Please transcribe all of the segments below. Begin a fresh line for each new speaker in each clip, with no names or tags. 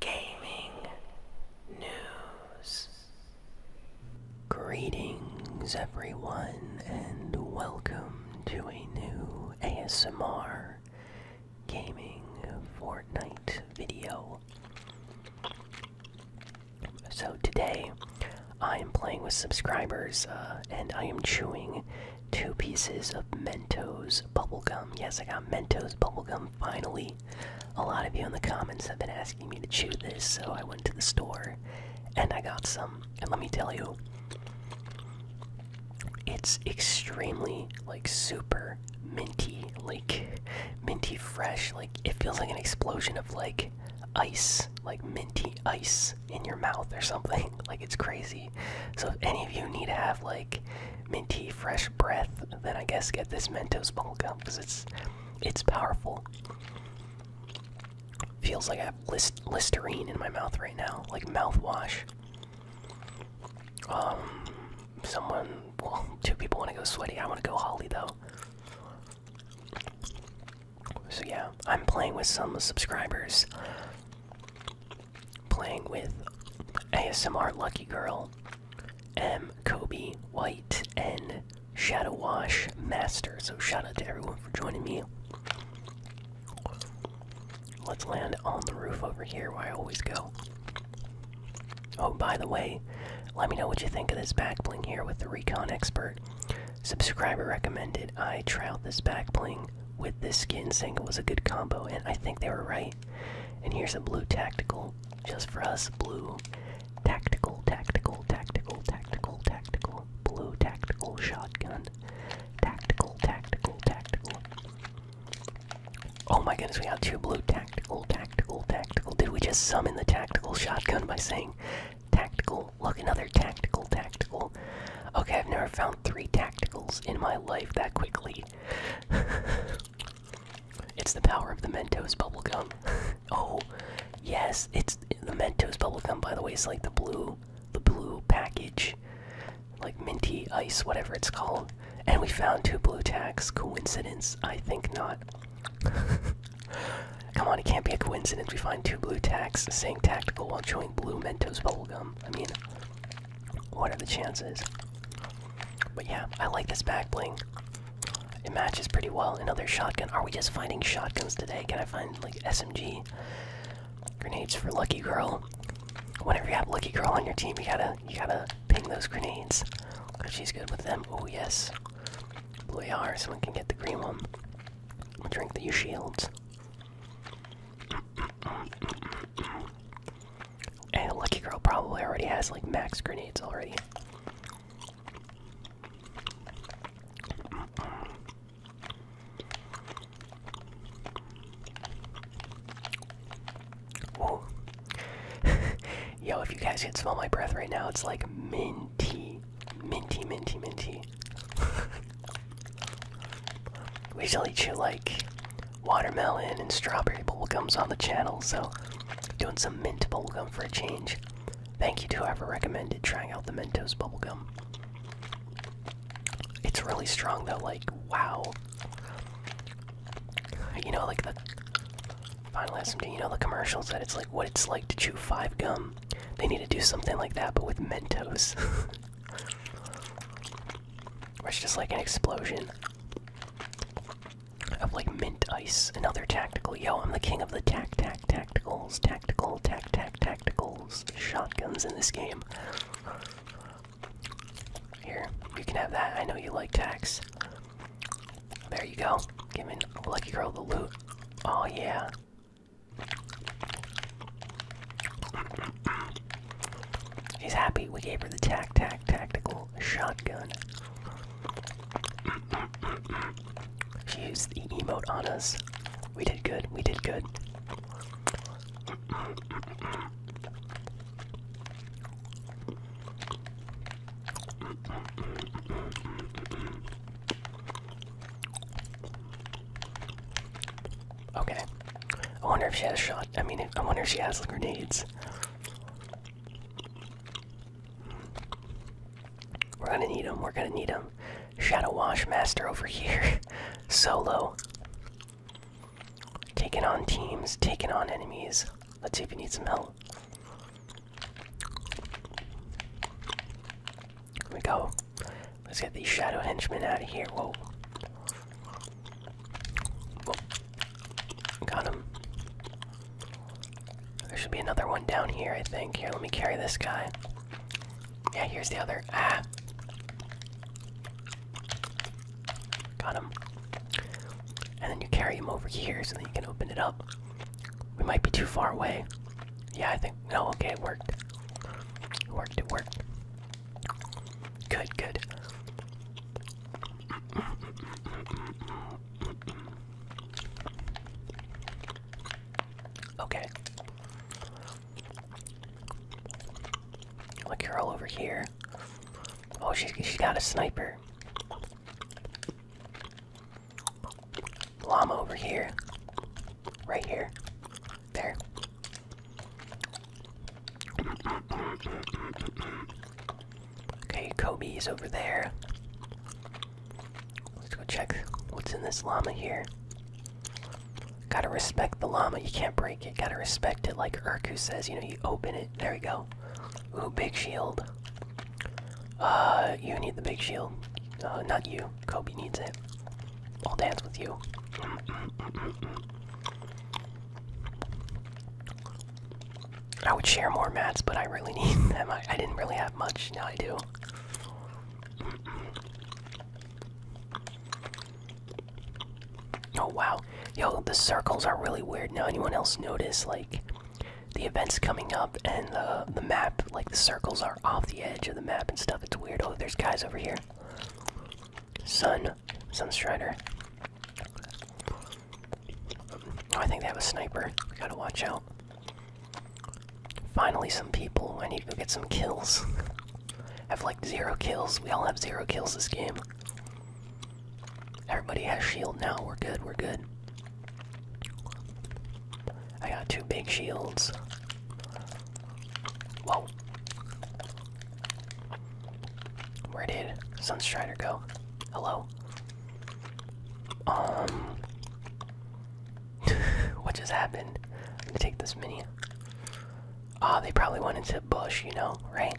gaming news. Greetings, everyone, and welcome to a new ASMR gaming Fortnite video. So, today I am playing with subscribers uh, and I am chewing two pieces of Mentos bubblegum. Yes, I got Mentos bubblegum finally. A lot of you in the comments have been asking me to chew this, so I went to the store and I got some. And let me tell you, it's extremely, like, super minty, like, minty fresh. Like, it feels like an explosion of, like, ice, like minty ice in your mouth or something. Like, it's crazy. So, if any of you need to have, like, minty fresh breath, then I guess get this Mentos bubblegum because it's it's powerful. Feels like I have list Listerine in my mouth right now, like mouthwash. Um, someone, well, two people want to go sweaty. I want to go Holly though. So yeah, I'm playing with some subscribers. Playing with ASMR Lucky Girl, M, Kobe, White, and Shadow Wash Master. So shout out to everyone for joining me. Let's land on the roof over here where I always go. Oh, by the way, let me know what you think of this back bling here with the Recon Expert. Subscriber recommended I try out this back bling with this skin, saying it was a good combo, and I think they were right. And here's a blue tactical, just for us. Blue tactical, tactical, tactical, tactical, tactical. Blue tactical shotgun. Tactical, tactical, tactical. Oh my goodness, we have two blue tactical, tactical, tactical. Did we just summon the tactical shotgun by saying tactical? Look, another tactical, tactical. Okay, I've never found three tacticals in my life that quickly. It's the power of the Mentos bubblegum. oh, yes, it's the Mentos bubblegum, by the way, it's like the blue, the blue package. Like minty ice, whatever it's called. And we found two blue tacks. Coincidence? I think not. Come on, it can't be a coincidence. We find two blue tacks saying tactical while showing blue Mentos bubblegum. I mean, what are the chances? But yeah, I like this back bling. It matches pretty well. Another shotgun. Are we just finding shotguns today? Can I find like SMG grenades for Lucky Girl? Whenever you have Lucky Girl on your team, you gotta you gotta ping those grenades. Cause she's good with them. Oh yes, blue AR. Someone can get the green one. Drink the U shields. And Lucky Girl probably already has like max grenades already. Yo, if you guys can smell my breath right now, it's like minty, minty, minty, minty. we eat you like watermelon and strawberry bubblegums on the channel, so doing some mint bubblegum for a change. Thank you to whoever recommended trying out the Mentos bubblegum. It's really strong though, like, wow. You know, like the final SMD, you know, the commercials that it's like what it's like to chew five gum. They need to do something like that, but with Mentos. it's just like an explosion. I have like mint ice. Another tactical. Yo, I'm the king of the tac tac tacticals, tactical tac tac tacticals, shotguns in this game. Here, you can have that. I know you like tax. There you go. Give Giving Lucky Girl the loot. Oh yeah. He's happy we gave her the tac tac tactical shotgun. she used the emote on us. We did good, we did good. Okay. I wonder if she has shot. I mean, I wonder if she has grenades. We're gonna need them. We're gonna need them. Shadow Wash Master over here. Solo. Taking on teams, taking on enemies. Let's see if you need some help. Here we go. Let's get these shadow henchmen out of here. Whoa. Got him. There should be another one down here, I think. Here, let me carry this guy. Yeah, here's the other. Ah! Got him. And then you carry him over here so then you can open it up. We might be too far away. Yeah, I think. No, okay, it worked. It worked, it worked. Good, good. Okay. Look, you're all over here. Oh, she she got a sniper. Llama over here. Right here. There. Okay, Kobe's over there. Let's go check what's in this llama here. Gotta respect the llama, you can't break it. Gotta respect it like Urku says, you know, you open it. There we go. Ooh, big shield. Uh, you need the big shield. Uh, not you. Kobe needs it. I'll dance with you. I would share more mats, but I really need them. I, didn't really have much, now I do. Oh wow. Yo, the circles are really weird now. Anyone else notice like the events coming up and the the map, like the circles are off the edge of the map and stuff. It's weird. Oh, there's guys over here. Sun. Sunstrider. Oh, I think they have a sniper. gotta watch out. Finally, some people. I need to get some kills. I have like zero kills. We all have zero kills this game. Everybody has shield now. We're good. We're good. I got two big shields. Whoa. Where did Sunstrider go? Hello? Um. what just happened? I'm gonna take this mini. Ah, uh, they probably went into bush, you know, right?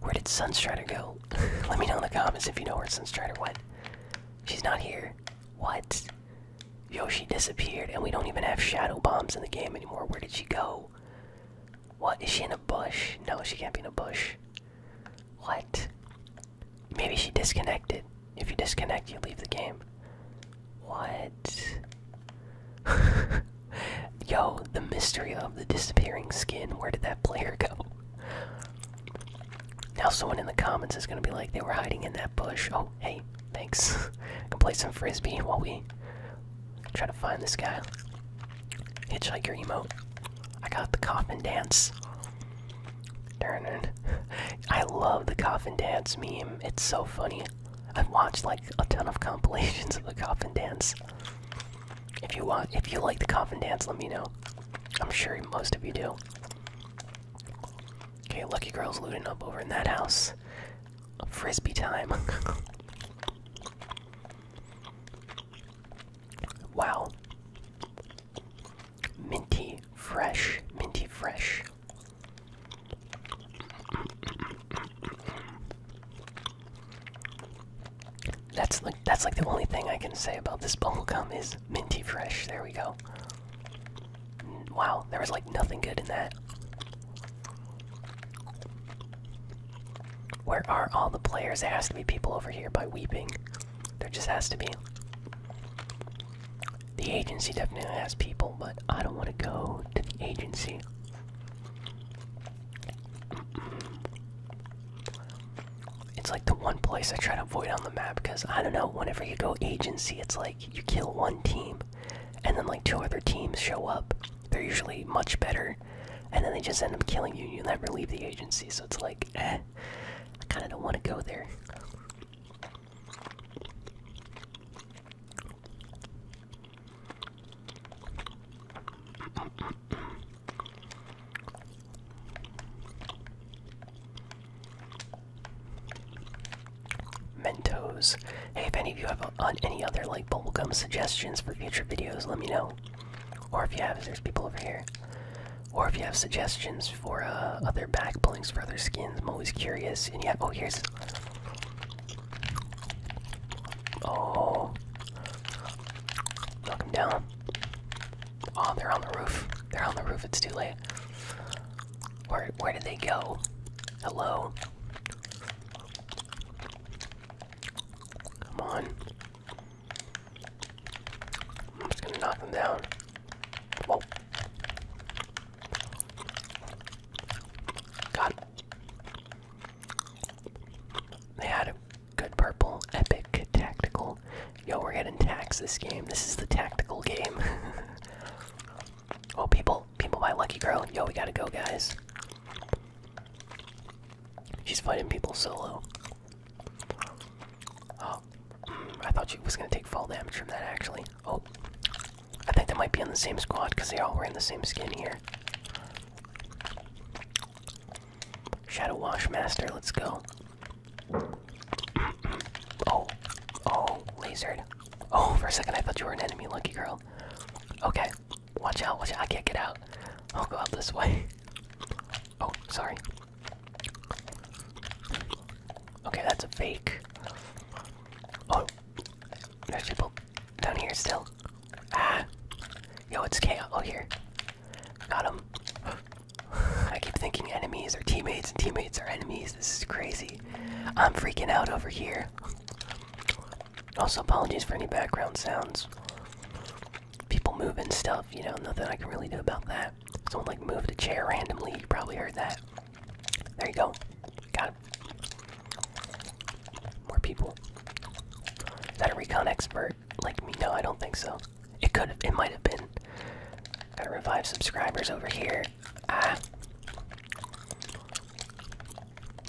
Where did Sunstrider go? Let me know in the comments if you know where Sunstrider went. She's not here. What? Yo, she disappeared, and we don't even have shadow bombs in the game anymore. Where did she go? What? Is she in a bush? No, she can't be in a bush. What? Maybe she disconnected. If you disconnect, you leave the game. What? Yo, the mystery of the disappearing skin. Where did that player go? Now, someone in the comments is gonna be like, they were hiding in that bush. Oh, hey, Thanks. I can play some frisbee while we try to find this guy. Hitch like your emo. I got the coffin dance. Darn I love the coffin dance meme. It's so funny. I've watched like a ton of compilations of the coffin dance. If you want, if you like the coffin dance, let me know. I'm sure most of you do. Okay, Lucky Girl's looting up over in that house. Frisbee time. wow. Minty fresh, minty fresh. That's like that's like the only thing I can say about this bubblegum is minty fresh. There we go. Wow, there was like nothing good in that. Where are all the players? There has to be people over here by weeping. There just has to be. The agency definitely has people, but I don't want to go to the agency. It's like the one place I try to avoid on the map because I don't know, whenever you go agency, it's like you kill one team and then like two other teams show up. They're usually much better, and then they just end up killing you. You never leave the agency, so it's like, eh, I kind of don't want to go there. Mentos. Hey, if any of you have any other like bubblegum suggestions for future videos, let me know. Or if you have, there's people over here. Or if you have suggestions for uh, other back blinks for other skins, I'm always curious. And yeah, oh here's. Oh, knock him down. Oh, they're on the roof. They're on the roof. It's too late. Where where did they go? Hello. Come on. I'm just gonna knock them down. Whoa. Got They had a good purple, epic, tactical. Yo, we're getting tax this game. This is the tactical game. Oh, people, people by Lucky Girl. Yo, we gotta go, guys. She's fighting people solo. Oh, mm, I thought she was gonna take fall damage from that, actually. Oh, I think they might be in the same squad because they all wearing the same skin here. Shadow Wash Master, let's go. oh, oh, lasered. Oh, for a second I thought you were an enemy, lucky girl. Okay, watch out, watch out. I can't get out. I'll go out this way. Oh, sorry. Okay, that's a fake. Oh, there's people down here still. Ah, yo, it's chaos. Oh, here. Got him. I keep thinking enemies are teammates and teammates are enemies. This is crazy. I'm freaking out over here. Also, apologies for any background sounds. People moving stuff, you know, nothing I can really do about that. Someone like moved a chair randomly, you probably heard that. There you go. Got it. More people. Is that a recon expert like me? No, I don't think so. It could have, it might have been. Gotta revive subscribers over here. Ah.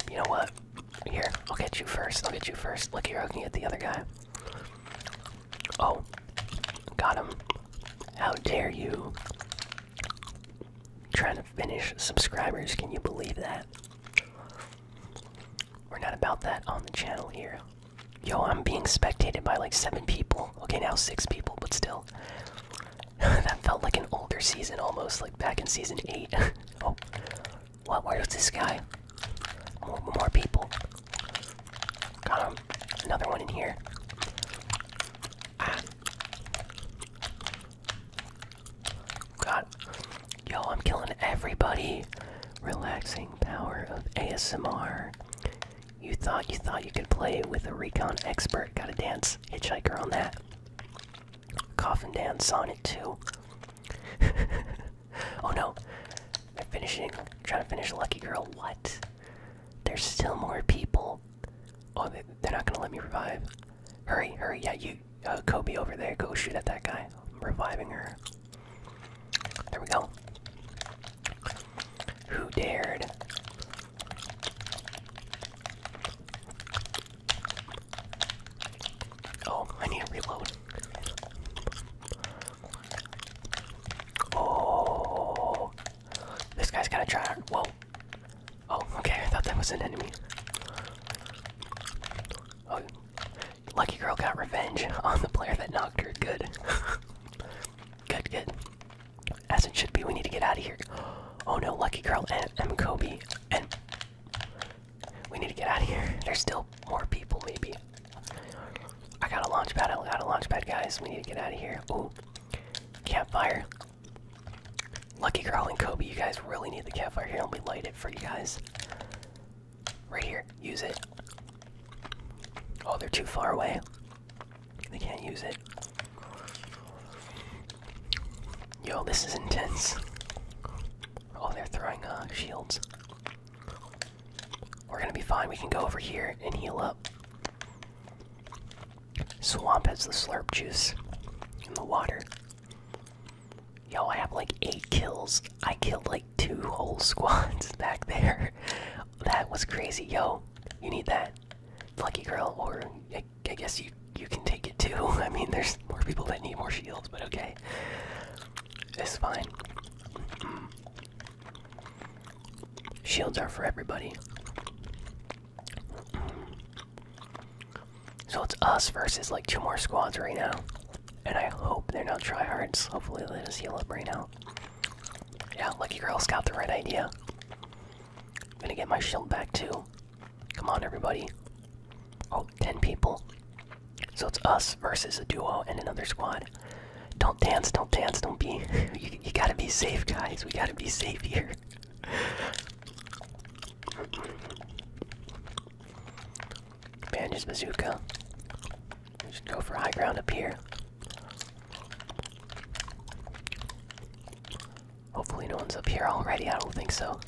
You know what? Here, I'll get you first. I'll get you first. Look here, I can get the other guy. Oh, got him. How dare you? Trying to finish subscribers, can you believe that? We're not about that on the channel here. Yo, I'm being spectated by like seven people. Okay, now six people, but still. that felt like an older season almost, like back in season 8. oh. What? Where is this guy? More, more people. Got him. Another one in here. Ah. Yo, I'm killing everybody. Relaxing power of ASMR. You thought you thought you could play with a recon expert. Gotta dance hitchhiker on that. Coffin dance on it too. oh no. I'm finishing trying to finish Lucky Girl. What? There's still more people. Oh, they, are not gonna let me revive. Hurry, hurry, yeah, you, uh, Kobe over there, go shoot at that guy. reviving her. There we go. Who dared? Oh, I need to reload. Oh, this guy's has got a try. Whoa. Oh, okay. I thought that was an enemy. Oh, lucky girl got revenge on the player that knocked her. Good. good, good. As it should be, we need to get out of here. Oh no, Lucky Girl and M. Kobe. And we need to get out of here. There's still more people, maybe. I got a launch pad. I got a launch pad, guys. We need to get out of here. Ooh, campfire. Lucky Girl and Kobe, you guys really need the campfire here. Let me light it for you guys. Right here. Use it. Oh, they're too far away. They can't use it. Yo, this is intense. Oh, they're throwing uh, shields. We're gonna be fine. We can go over here and heal up. Swamp has the slurp juice in the water. Yo, I have like eight kills. I killed like two whole squads back there. That was crazy. Yo, you need that lucky girl or I, guess you you can take it too i mean there's more people that need more shields but okay it's fine shields are for everybody so it's us versus like two more squads right now and i hope they're not tryhards hopefully they just heal up right now yeah, Lucky Girl's got the right idea. I'm gonna get my shield back too. Come on, everybody. Oh, ten people. So it's us versus a duo and another squad. Don't dance, don't dance, don't be. you, gotta be safe, guys. We gotta be safe here. Bandages bazooka. We should go for high ground up here. Hopefully no one's up here already, I don't think so.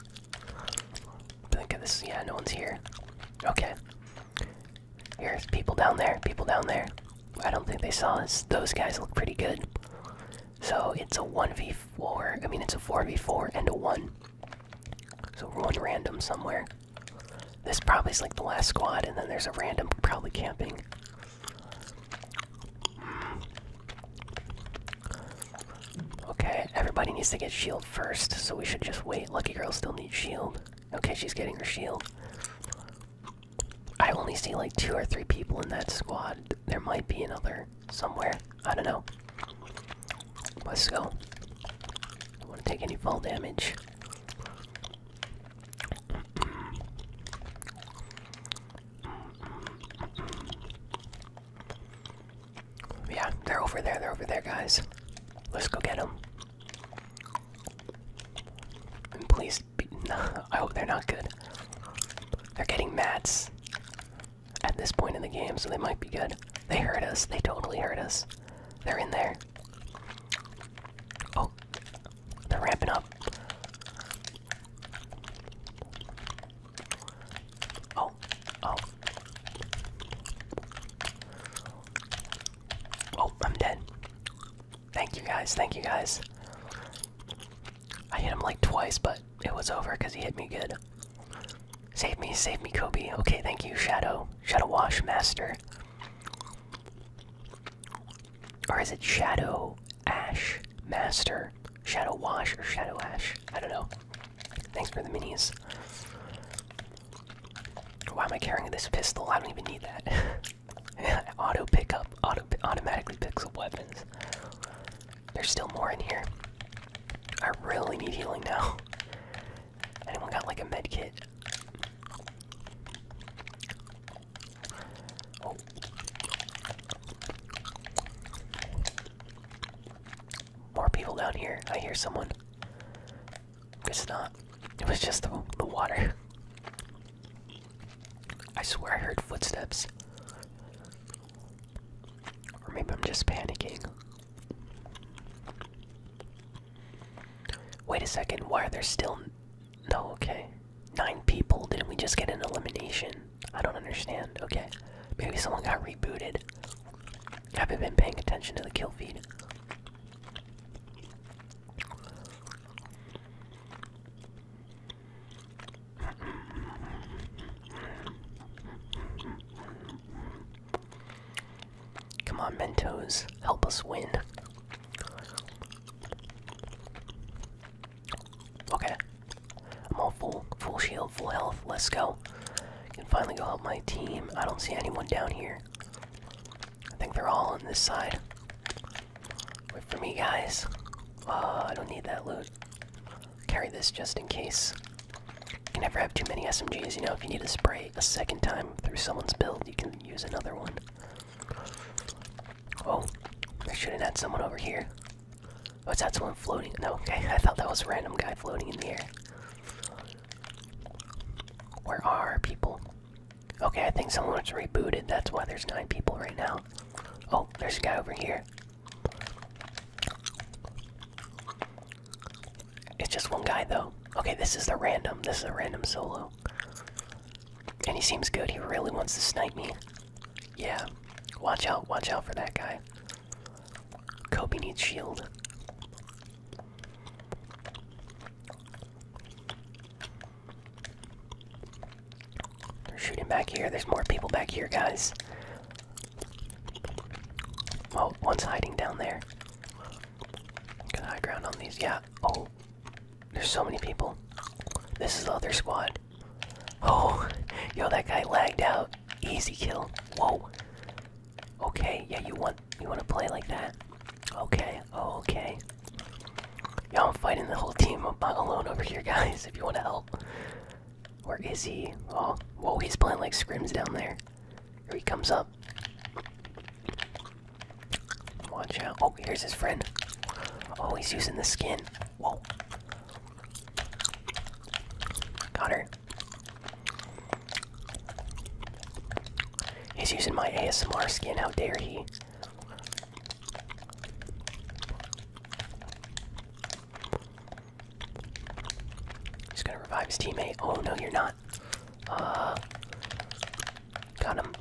Think of this, yeah, no one's here. Okay. Here's people down there, people down there. I don't think they saw us. Those guys look pretty good. So it's a 1v4, I mean it's a 4v4 and a 1. So we're on random somewhere. This probably is like the last squad, and then there's a random probably camping. Okay, everybody needs to get shield first, so we should just wait. Lucky girl still needs shield. Okay, she's getting her shield. I only see like two or three people in that squad. There might be another somewhere. I don't know. Let's go. Don't want to take any fall damage. Yeah, they're over there. They're over there, guys. Let's go get them. And please I hope they're not good. They're getting mats at this point in the game, so they might be good. They hurt us. They totally hurt us. They're in there. Oh, they're ramping up. Oh, oh. Oh, I'm dead. Thank you guys, thank you guys. I hit him like twice, but it was over because he hit me good. Save me, save me, Kobe. Okay, thank you, Shadow. Shadow Wash Master. Or is it Shadow Ash Master? Shadow Wash or Shadow Ash? I don't know. Thanks for the minis. Why am I carrying this pistol? I don't even need that. auto pickup, auto automatically picks up weapons. There's still more in here. I really need healing now. Anyone got like a med kit? Oh. More people down here. I hear someone. It's not. It was just the water. I swear I heard footsteps. Or maybe I'm just panicking. Wait a second, why are there still. No, okay. Nine people? Didn't we just get an elimination? I don't understand. Okay. Maybe someone got rebooted. haven't been paying attention to the kill feed. Come on, Mentos, help us win. Okay. I'm all full, full shield, full health. Let's go. can finally go help my team. I don't see anyone down here. I think they're all on this side. Wait for me, guys. Uh, I don't need that loot. Carry this just in case. You never have too many SMGs, you know, if you need to spray a second time through someone's build, you can use another one. Oh, I should have had someone over here. Was oh, that someone floating? No, okay, I thought that was a random guy floating in the air. Where are people? Okay, I think someone's rebooted. That's why there's nine people right now. Oh, there's a guy over here. It's just one guy though. Okay, this is the random. This is a random solo. And he seems good. He really wants to snipe me. Yeah. Watch out. Watch out for that guy. Kobe needs shield. They're shooting back here. There's more people back here, guys. Oh, one's hiding down there. Got high ground on these. Yeah. Oh, there's so many people. This is the other squad. Oh, yo, that guy lagged out. Easy kill. Whoa. Okay. Yeah, you want you want to play like that? Okay. Oh, okay. Y'all am fighting the whole team. I'm not alone over here, guys. If you want to help. Where is he? Oh, whoa, he's playing like scrims down there. Here he comes up. Watch out. Oh, here's his friend. Oh, he's using the skin. Whoa. Got He's using my ASMR skin. How dare he? He's gonna revive his teammate. Oh, no, you're not. Uh, got him.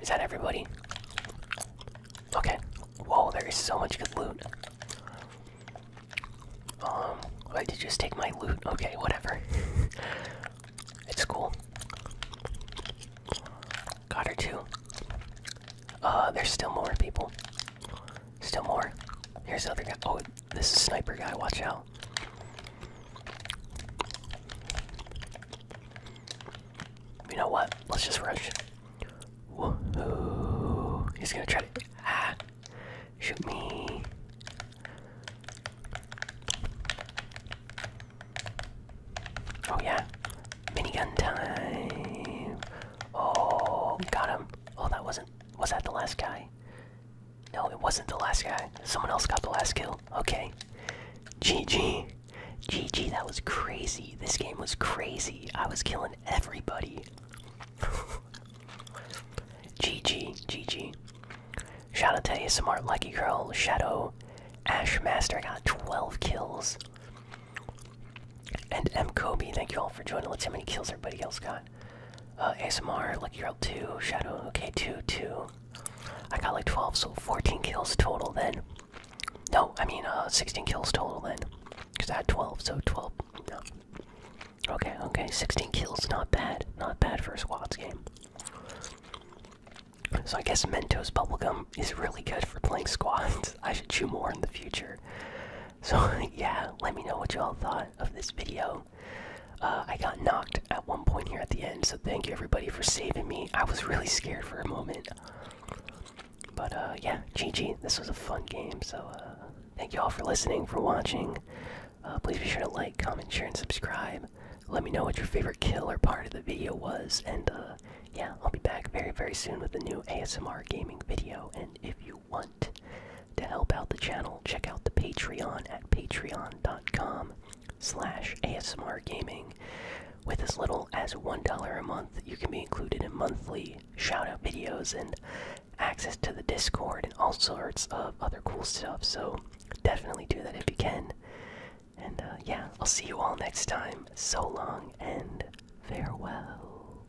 Is that everybody? Okay. Whoa, there is so much loot. Um, I did just take my loot. Okay, whatever. it's cool. Got her too. Uh, there's still more people. Still more. Here's the other guy. Oh, this is sniper guy, watch out. You know what? Let's just rush. He's gonna try to ah, shoot me. Oh yeah, minigun time. Oh, got him. Oh, that wasn't. Was that the last guy? No, it wasn't the last guy. Someone else got the last kill. Okay. GG. GG, that was crazy. This game was crazy. I was killing everybody. GG, GG. Shout out to ASMR Lucky Girl, Shadow, Ashmaster. I got 12 kills. And M. Kobe, thank you all for joining. Let's see how many kills everybody else got. Uh, ASMR, like you're Girl 2, Shadow, okay, 2, 2. I got like 12, so 14 kills total then. No, I mean uh, 16 kills total then. Because I had 12, so 12. No. Okay, okay, 16 kills, not bad. Not bad for a squads game. So I guess Mentos Bubblegum is really good for playing squads. I should chew more in the future. So, yeah, let me know what you all thought of this video. Uh, I got knocked at one point here at the end, so thank you everybody for saving me. I was really scared for a moment. But, uh, yeah, GG. This was a fun game, so uh, thank you all for listening, for watching. please be sure to like, comment, share, and subscribe. Let me know what your favorite kill or part of the video was, and yeah, I'll be back very, very soon with a new ASMR gaming video. And if you want. To help out the channel, check out the Patreon at patreon.com slash ASMR Gaming. With as little as $1 a month, you can be included in monthly shoutout videos and access to the Discord and all sorts of other cool stuff, so definitely do that if you can. And uh, yeah, I'll see you all next time. So long and farewell.